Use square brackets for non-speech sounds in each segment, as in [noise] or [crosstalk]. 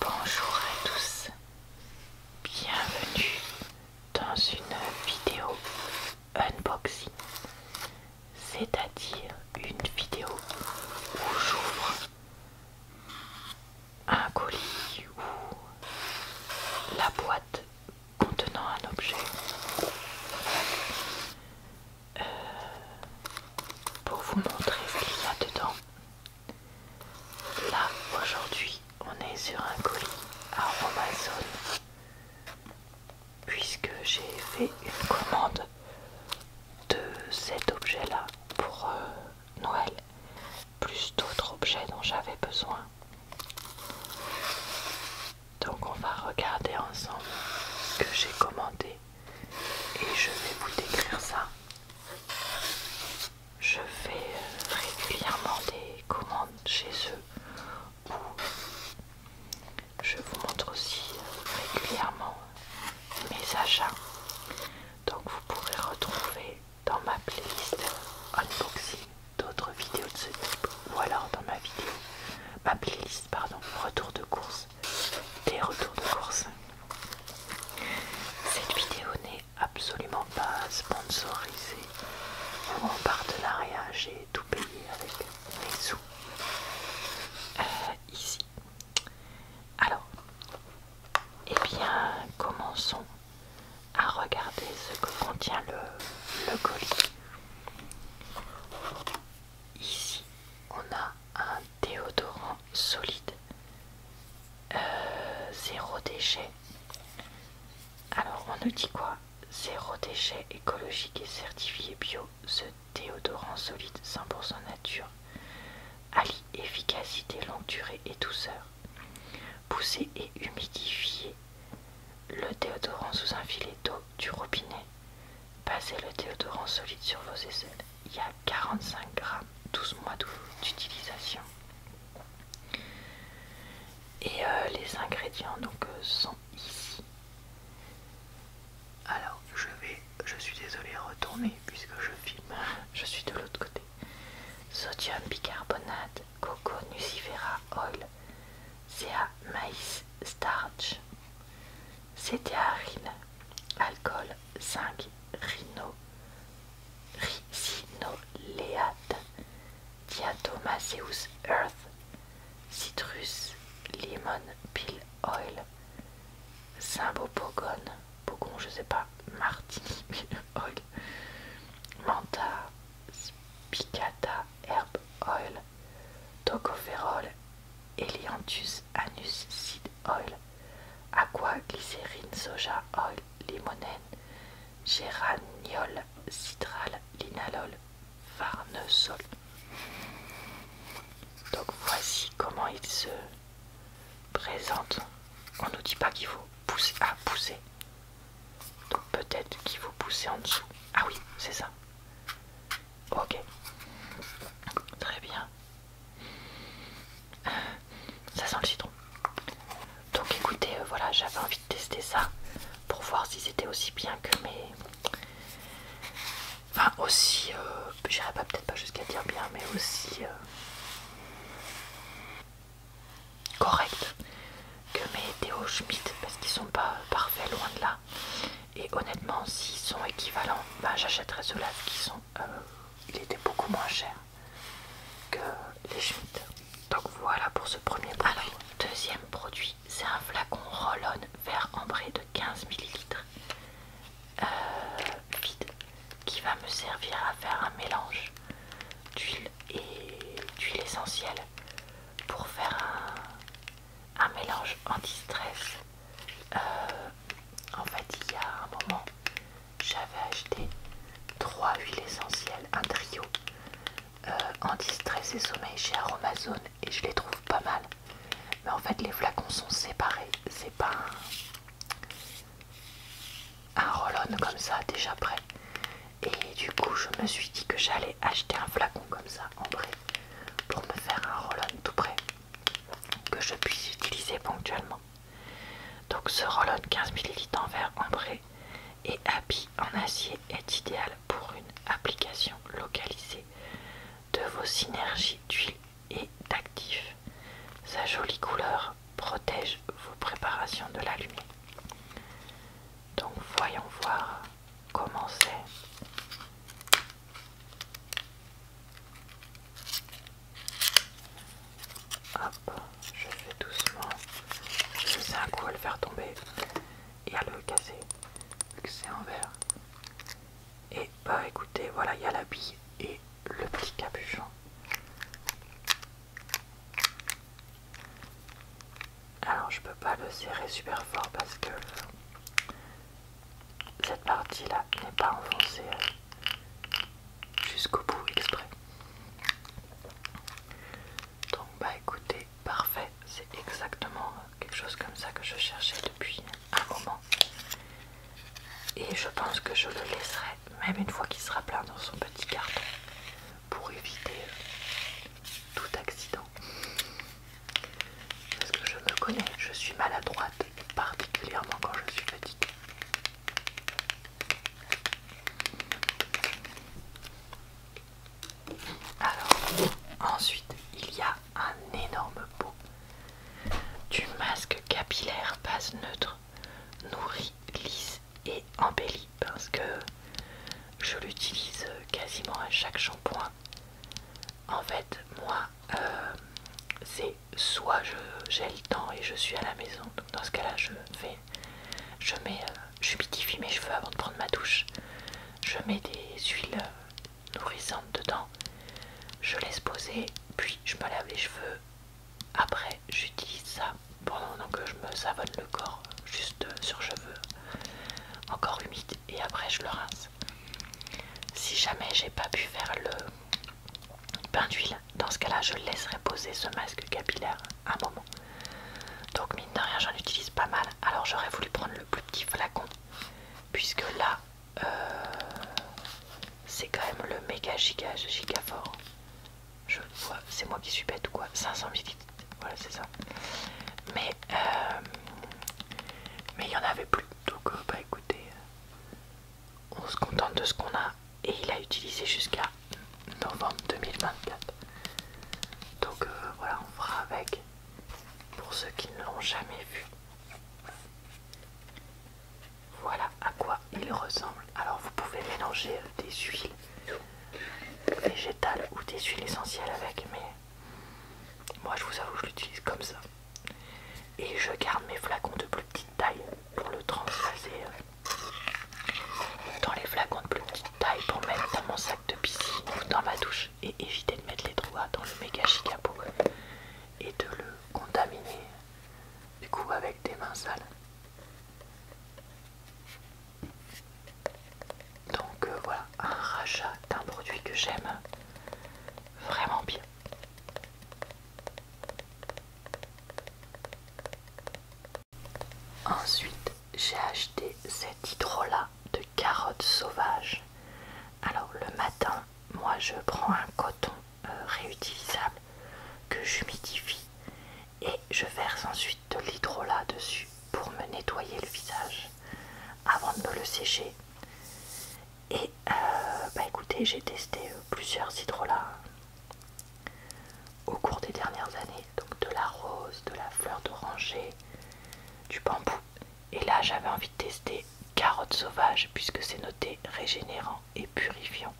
Bonjour à tous, bienvenue dans une vidéo unboxing, c'est-à-dire une vidéo où j'ouvre un colis ou la boîte contenant un objet. Euh, pour vous montrer ce qu'il y a dedans Là, aujourd'hui, on est sur un colis à Amazon puisque j'ai fait une commande de cet objet-là pour euh, Noël, plus d'autres objets dont j'avais besoin. Donc on va regarder ensemble ce que j'ai commandé et je vais vous décrire ça. Je fais euh, régulièrement des commandes chez eux je vous montre aussi euh, régulièrement mes achats. Donc vous pourrez retrouver dans ma playlist unboxing d'autres vidéos de ce type ou alors dans ma vidéo, ma playlist pardon, retour de course des retours de course. Cette vidéo n'est absolument pas sponsorisée en partenariat, e j'ai tout payé avec mes sous euh, ici. Alors, et eh bien, commençons à regarder ce que contient le, le colis. Ici, on a un déodorant solide, euh, zéro déchet. Alors on nous dit quoi Zéro déchet écologique et certifié bio. Ce déodorant solide 100% nature allie efficacité longue durée et douceur. Poussez et humidifiez le déodorant sous un filet d'eau du robinet. Passez le déodorant solide sur vos aisselles il y a 45 grammes, 12 mois d'utilisation. Et euh, les ingrédients donc euh, sont ici. Alors je vais, je suis désolée retourner puisque je filme, je suis de l'autre côté. Sodium bicarbonate, coco nucifera oil, à maïs starch, CTA Alcool 5 rhino, leat diatomaceus earth, citrus, lemon peel oil, Symbopogon, pogon je sais pas, martini peel oil, manta, spicata herb oil, tocopherol, Elianthus anus seed oil, aqua glycérine soja oil, limonène, géraniol, citral, linalol, farnesol. Donc voici comment il se présente. On nous dit pas qu'il faut pousser à ah, pousser. Donc peut-être qu'il faut pousser en dessous. Ah oui, c'est ça. Ok. Très bien ça sent le citron. Donc écoutez, euh, voilà, j'avais envie de tester ça pour voir si c'était aussi bien que mes... Enfin aussi, euh, j'irai peut-être pas jusqu'à dire bien, mais aussi euh, correct que mes Théo Schmidt parce qu'ils sont pas parfaits, loin de là. Et honnêtement, s'ils sont équivalents, bah, j'achèterais j'achèterai ceux-là qui sont... Euh, il était beaucoup moins chers que les chutes Donc voilà pour ce premier produit. deuxième produit, c'est un flacon Roll-on vert ambré de 15 ml euh, vide qui va me servir à faire un mélange d'huile et d'huile essentielle pour faire un, mélange anti-stress. Euh, en fait, il y a un moment j'avais acheté trois huiles essentielles, un trio en euh, anti-stress et sommeil chez Amazon et je les trouve pas mal. Mais en fait, les flacons sont séparés, c'est pas un, roll-on comme ça déjà prêt. Et du coup, je me suis dit que j'allais acheter un flacon comme ça en vrai pour me faire un roll-on tout prêt que je puisse utiliser ponctuellement. Donc ce roll 15ml en verre ambré et habit en acier est idéal pour une application localisée de vos synergies d'huile et d'actifs. Sa jolie couleur protège vos préparations de la lumière. Donc voyons voir comment c'est. Hop, je fais doucement. Je vais un coup à le faire tomber et à le casser, vu que c'est en verre. Et bah écoutez, voilà, il y a la bille et le petit capuchon. Alors je peux pas le serrer super fort parce que cette partie là n'est pas enfoncée jusqu'au bout exprès. Donc bah écoutez, parfait, c'est exactement quelque chose comme ça que je cherchais depuis un moment. Et je pense que je le laisserai, même une fois qu'il sera plein dans son petit carton, pour éviter tout accident. Parce que je me connais, je suis maladroite, particulièrement quand je suis petite. Alors, ensuite, il y a un énorme pot. Du masque capillaire base neutre, nourri, lisse et embelli parce que je l'utilise quasiment à chaque shampoing. En fait, moi, euh, c'est soit j'ai le temps et je suis à la maison, dans ce cas-là, je fais, je mets, euh, j'humidifie mes cheveux avant de prendre ma douche, je mets des huiles euh, nourrissantes dedans, je laisse poser, puis je me lave les cheveux. Après, j'utilise ça pendant que je me savonne le corps, juste euh, sur cheveux encore humide, et après je le rince. Si jamais j'ai pas pu faire le Pain d'huile, dans ce cas-là, je laisserai poser ce masque capillaire un moment. Donc, mine de rien, j'en utilise pas mal. Alors, j'aurais voulu prendre le plus petit flacon, puisque là, euh, c'est quand même le méga giga giga fort. Je vois, c'est moi qui suis bête ou quoi 500 millilitres, voilà, c'est ça. Mais euh, mais il y en avait plus, donc euh, bah écoutez, on se contente de ce qu'on a et il a utilisé jusqu'à novembre 2024 donc euh, voilà on fera avec pour ceux qui ne l'ont jamais vu voilà à quoi il ressemble alors vous pouvez mélanger euh, des huiles végétales ou des huiles essentielles avec mais moi je vous avoue je l'utilise comme ça et je garde mes flacons de plus petite taille pour le transvaser euh, dans les flacons de plus petite taille pour mettre dans mon sac de piscine ou dans ma douche et éviter de mettre les doigts dans le méga chicapot et de le contaminer du coup avec des mains sales. Donc euh, voilà, un rachat d'un produit que j'aime vraiment bien. Ensuite, j'ai acheté cet hydrolat de carottes sauvages. Alors le matin, moi je prends un coton euh, réutilisable que j'humidifie et je verse ensuite de l'hydrolat dessus pour me nettoyer le visage avant de me le sécher. Et euh, bah écoutez, j'ai testé euh, plusieurs hydrolats au cours des dernières années, donc de la rose, de la fleur d'oranger, du bambou. Et là, j'avais envie de tester carotte sauvage puisque c'est noté régénérant et purifiant.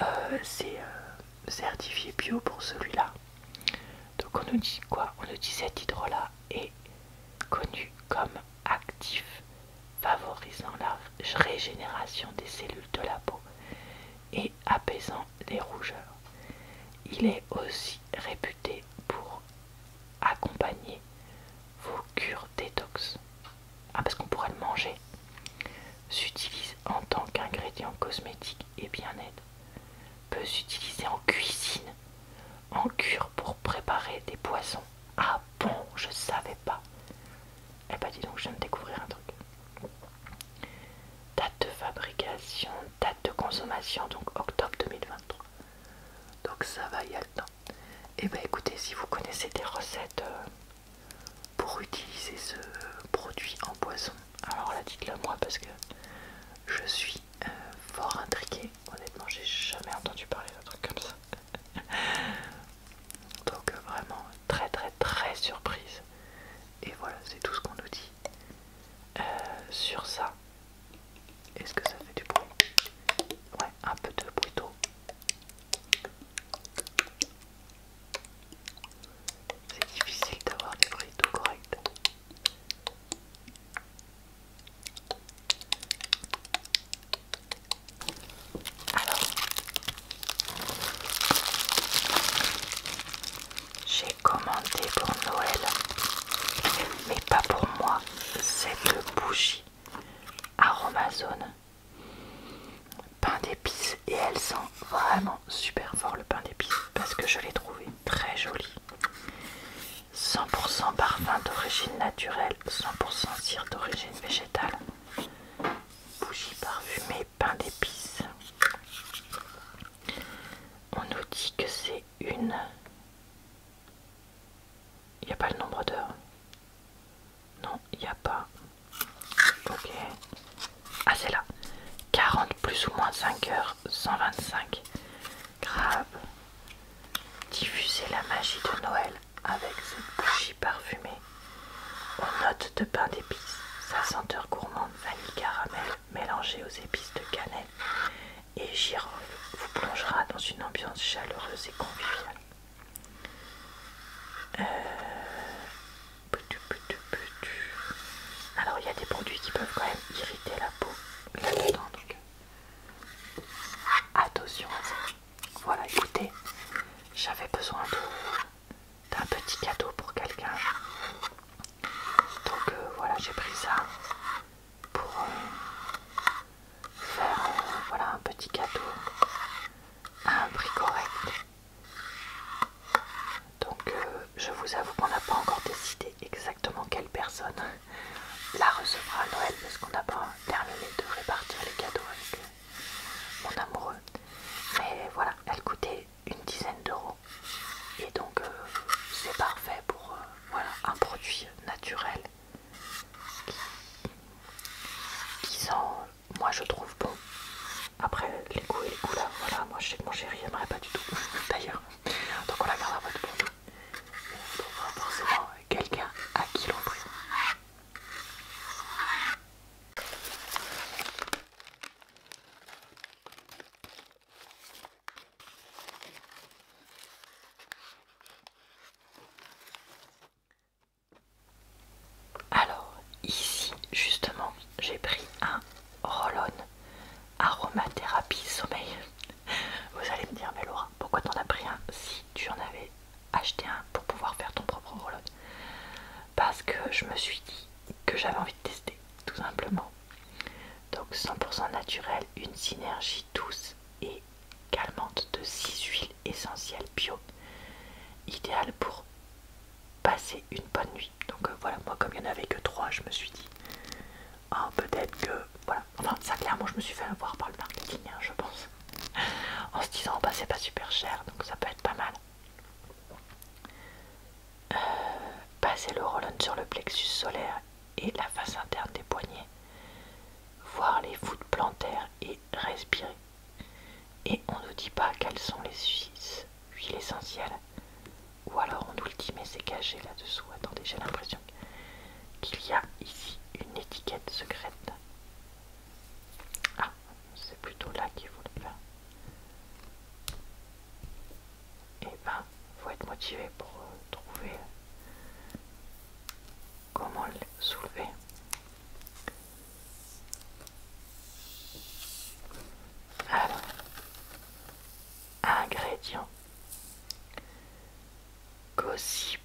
Euh, c'est euh, certifié bio pour celui-là. Donc on nous dit quoi On nous dit cet hydrolat est connu comme actif favorisant la régénération des cellules de la peau et apaisant les rougeurs. Il est aussi réputé pour accompagner vos cures détox. Ah, parce qu'on pourrait le manger. S'utilise en tant qu'ingrédient cosmétique et bien-être. Peut s'utiliser en cuisine, en cure pour préparer des poissons. Ah bon, je ne savais pas. Eh bah dis donc, je viens de découvrir un truc. Date de fabrication, date de consommation, donc octobre 2023. Donc ça va, il y a le temps. Et eh ben écoutez, si vous connaissez des recettes euh, pour utiliser ce produit en poison, alors là dites-le moi parce que je suis euh, fort intriguée. Honnêtement, j'ai jamais entendu parler d'un truc comme ça. [laughs] Donc euh, vraiment très très très surprise. Et voilà, c'est tout ce qu'on nous dit euh, sur ça. Est-ce que ça fait du bruit Ouais, un peu de bruit d'eau. C'est difficile d'avoir des bruits tout corrects. Alors, j'ai commandé pour Noël, mais pas pour moi, cette bougie aromazone pain d'épices et elle sent vraiment super fort le pain d'épices parce que je l'ai trouvé très joli 100% parfum d'origine naturelle 100% cire d'origine végétale bougie parfumée pain d'épices. On nous dit que c'est une. Il n'y a pas le nombre d'heures. Non, il n'y a pas. Ok. Ah, c'est là. 40 plus ou moins 5 heures, 125. Grave. Diffuser la magie de Noël avec cette bougie parfumée aux notes de pain d'épices, sa senteur gourmande vanille caramel mélangée aux épices de cannelle et girofle vous plongera dans une ambiance chaleureuse et conviviale. Euh, Alors il y a des produits qui peuvent quand même irriter la peau là-dedans donc euh, attention à ça. Voilà écoutez, j'avais besoin de un petit cadeau pour quelqu'un. Donc euh, voilà, j'ai pris ça pour euh, faire euh, un petit cadeau à un prix correct. Donc je vous avoue qu'on n'a pas encore décidé exactement quelle personne [laughs] la recevra à Noël parce qu'on n'a pas terminé de répartir les cadeaux avec mon amoureux. Mais voilà, elle coûtait une dizaine d'euros. Et donc euh, c'est parfait pour euh, voilà, un produit naturel qui, sont, moi je trouve bon. Après les coups et les couleurs, voilà, moi je sais que mon chéri n'aimerait pas du tout [laughs] d'ailleurs. Donc on la garde à votre Donc On trouvera forcément quelqu'un à qui prie alors ici justement j'ai pris un Rollon aromathérapie sommeil. [laughs] Vous allez me dire mais Laura pourquoi t'en as pris un si tu en avais acheter un pour pouvoir faire ton propre horloge parce que je me suis dit que j'avais envie de tester tout simplement donc 100% naturel une synergie douce et calmante de 6 huiles essentielles bio idéal pour passer une bonne nuit donc euh, voilà moi comme il n'y en avait que 3 je me suis dit hein, peut-être que voilà enfin ça clairement je me suis fait avoir par le marketing hein, je pense [laughs] en se disant bah, c'est pas super cher donc ça peut être pas mal euh, passer le roll sur le plexus solaire et la face interne des poignets. Voir les voûtes plantaires et respirer. Et on nous dit pas quelles sont les huiles essentielles. Ou alors on nous le dit mais c'est caché là-dessous. Attendez, j'ai l'impression qu'il y a ici une étiquette secrète. Ah, c'est plutôt là qu'il faut le faire. Et eh ben, faut être motivé pour euh, trouver comment le soulever. Alors, ingrédients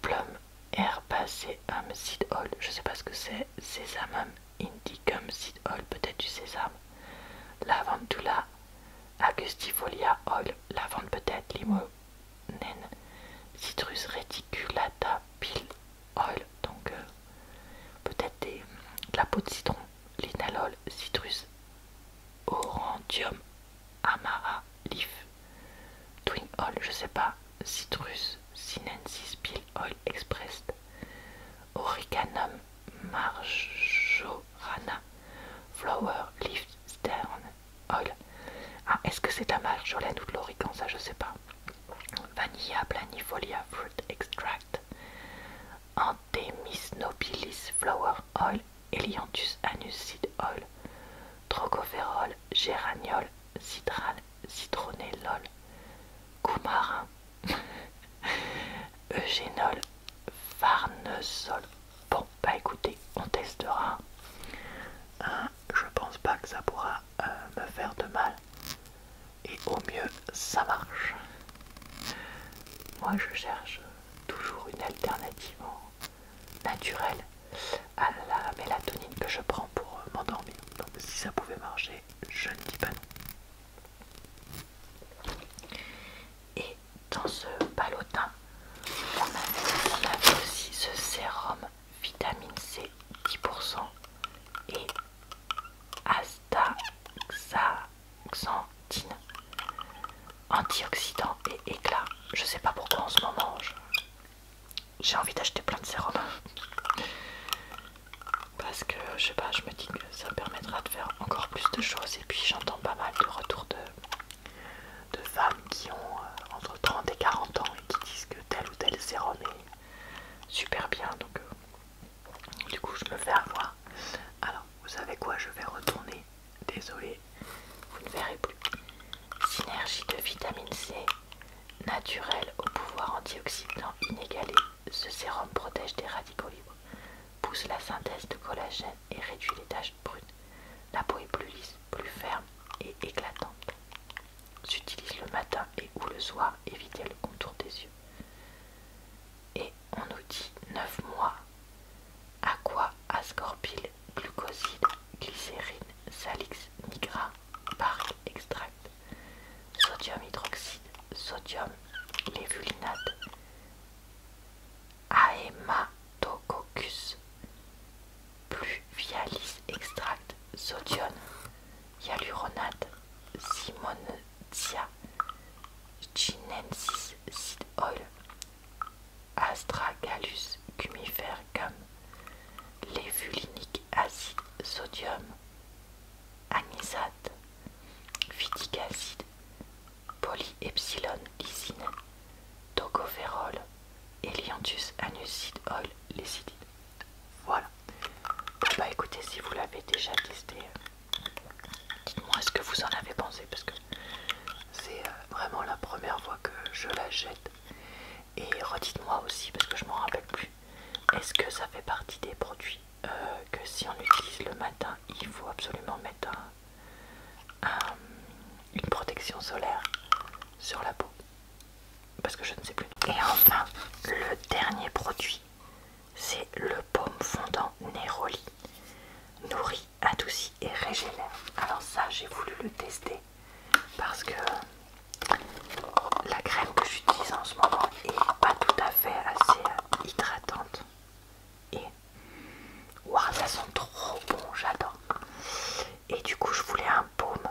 Plum herbacé, oil. Je sais pas ce que c'est, c'est même. Indicum seed oil, peut-être du sésame. Lavandula, Agustifolia oil, lavande peut-être, limonène. Citrus reticulata peel oil, donc euh, peut-être de la peau de citron. Linalol, citrus orantium amara leaf. Twin oil, je sais pas. Citrus sinensis Peel Oil, expressed Origanum marjorana flower leaf stern oil Ah est-ce que c'est de la marjolaine ou de l'origan ça je sais pas Vanilla planifolia fruit extract Anthemis nobilis flower oil Elianthus Seed oil trocopherol géraniol, citral citronné lol, coumarin, [laughs] eugénol, farnesol. Bon, bah écoutez, on testera. Hein, je pense pas que ça pourra euh, me faire de mal. Et au mieux, ça marche. Moi, je cherche toujours une alternative naturelle à la mélatonine que je prends pour euh, m'endormir. si ça pouvait marcher, je ne dis pas Et dans ce palotin, on a aussi ce sérum vitamine C 10% et astaxanthine antioxydant et éclat. Je sais pas pourquoi en ce moment j'ai envie d'acheter plein de sérums parce que je sais pas, je me dis que ça me permettra de faire encore plus de choses et puis j'entends pas mal de retours de, femmes qui ont euh, entre 30 et 40 ans et qui disent que telle ou telle sérum est super bien donc euh, du coup je me fais avoir. Alors vous savez quoi, je vais retourner, désolé, vous ne verrez plus. Synergie de vitamine C, Naturel au pouvoir antioxydant inégalé, ce sérum protège des radicaux libres, pousse la synthèse de collagène et réduit les taches brunes. La peau est plus lisse, plus ferme et éclatante. S'utilise le matin et ou le soir, évitez le contour des yeux. Et on nous dit 9 mois. Aqua, ascorbyl, glucoside, glycérine, salix nigra, Park extract, sodium hydroxide sodium lévulinate, ahématococcus, pluvialis extract, sodium hyaluronate, simontia chinensis oil, astragalus gum levulinic acide, sodium anisate, Viticacide, acide, polyepsilon-lysine, tocopherol, Elianthus anusidol oil Voilà. Ah bah écoutez, si vous l'avez déjà testé, euh, dites-moi ce que vous en avez pensé parce que c'est euh, vraiment la première fois que je la jette. Et redites-moi aussi parce que je m'en rappelle plus. Est-ce que ça fait partie des produits euh, que si on utilise le matin, il faut absolument mettre une protection solaire sur la peau Parce que je ne sais plus. Et enfin, le dernier produit, c'est le baume fondant Neroli. nourri, adouci et régénère. Alors ça, j'ai voulu le tester parce que la crème que j'utilise en ce moment est pas tout à fait assez hydratante. Et waouh, ça sent trop bon, j'adore. Et du coup, je voulais un baume.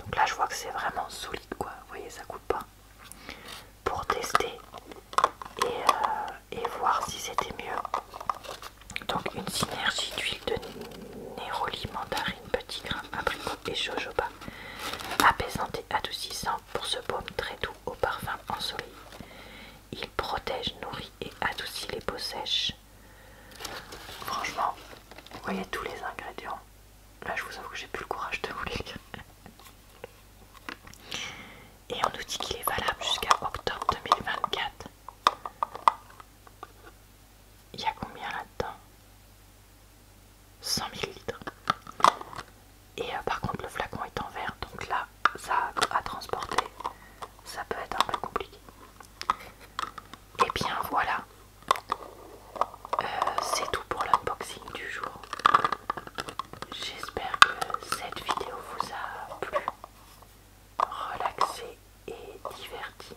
Donc là, je vois que c'est vraiment solide, quoi. Vous voyez, ça coûte pas. Pour tester euh, et, voir si c'était mieux. Donc une synergie d'huile de néroli, mandarine, petit grain, abricot et jojoba apaisant et adoucissant pour ce baume très doux au parfum ensoleillé. Il protège, nourrit et adoucit les peaux sèches. Franchement, vous voyez tous les ingrédients. Là, je vous avoue que j'ai plus le courage de vous lire. Et on nous dit qu'il est valable jusqu'à octobre 2024. Il y a combien là-dedans 100 ml. Et euh, par contre, le flacon est en verre, donc là, ça à transporter, ça peut être un peu compliqué. Et eh bien voilà, euh, c'est tout pour l'unboxing du jour. J'espère que cette vidéo vous a plu, relaxé et diverti.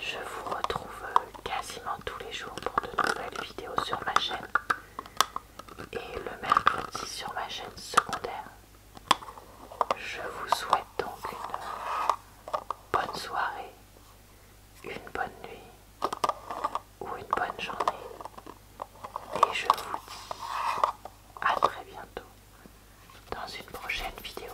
Je vous retrouve quasiment tous les jours pour de nouvelles vidéos sur ma chaîne et le mercredi sur ma chaîne secondaire. Je vous souhaite donc une bonne soirée, une bonne nuit ou une bonne journée et je vous dis à très bientôt dans une prochaine vidéo.